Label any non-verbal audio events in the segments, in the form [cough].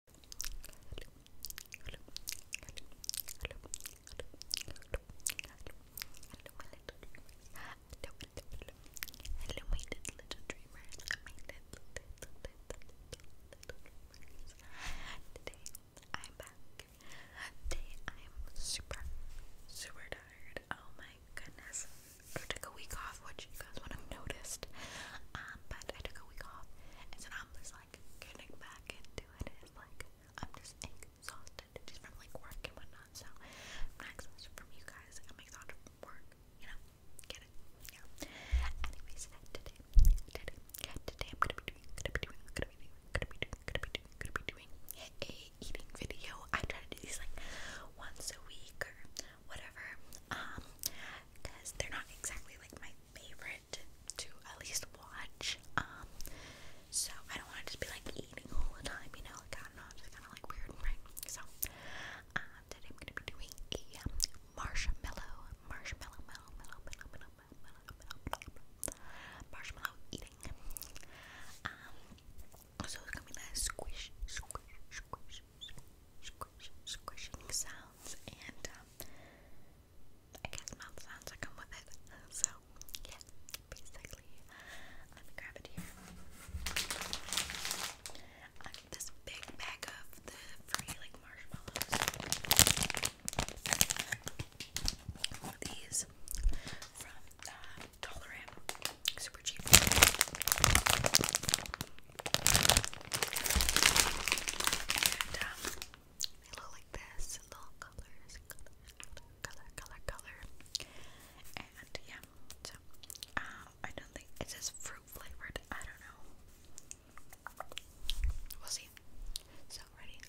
Today I'm back. Today I'm super, super tired. Oh my goodness. I took a week off off, which you guys would have noticed. Um, but I took a week off, and so now I'm just like getting back into it. It's like I'm just exhausted just from like work and whatnot. So I'm not exhausted from you guys. I'm exhausted from work. You know, get it? Yeah. Anyways, today, today, today I'm gonna be doing, gonna be doing, gonna be doing, gonna be doing, gonna be doing, gonna be doing a eating video. I try to do these like once a week or whatever. Um, because they're not exactly like my favorite to at least watch. Um, so I don't want to just be like eating all the time, you know, like I don't know, it's just kind of like weird, right? So, um, today I'm gonna be doing a um, marshmallow, marshmallow, mellow, mellow, mellow, mellow, mellow, mellow, mellow, mellow, marshmallow eating. Um, so it's gonna be like squish, squish, squish, squish, squishing sounds and um, I guess mouth sounds that come with it. So yeah, basically, let me grab it here. I got this big bag of the free like marshmallows. These from uh, dollar super cheap. Um, they look like this, little colors, color, color, color, And yeah, um, I don't think it says fruit flavored. I don't know. We'll see. So ready.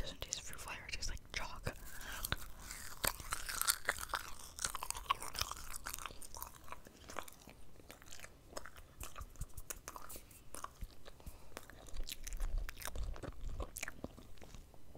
Doesn't taste fruit flavor, it tastes like chalk.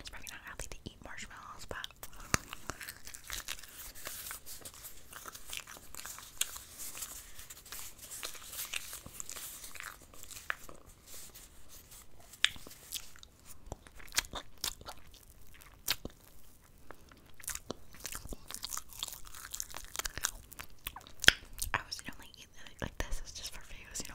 It's probably not healthy to eat marshmallows, but I was you know, like this is just for views, you know.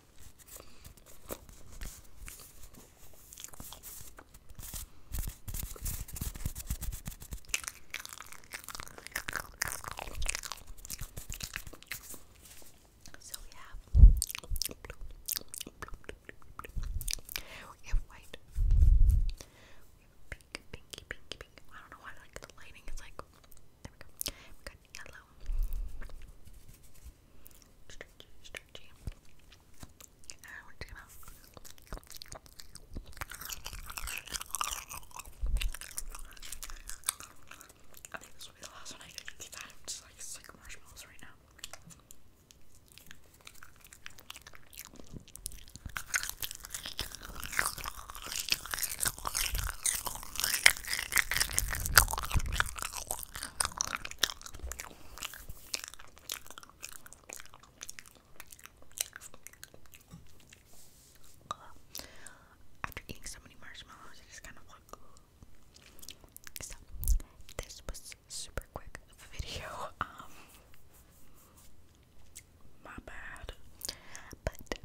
So we have white. pink, pinky, pinky, pink. I don't know why like the lighting is like there we go. We got yellow. Stretchy, stretchy. I think this will be the last one I get. i just like sick like marshmallows right now. After eating so many marshmallows, I just kind of want. this was super quick video. [laughs] Um, my bad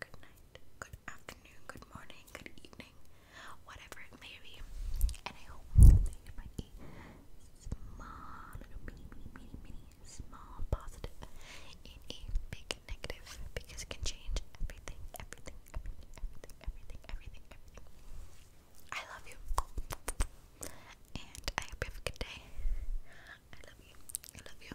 good night, good afternoon, good morning, good evening, whatever it may be. And I hope that you might be small, little mini, mini, mini, mini, small positive in a big negative because it can change everything, everything, everything, everything, everything, everything, everything. I love you. And I hope you have a good day. I love you. I love you.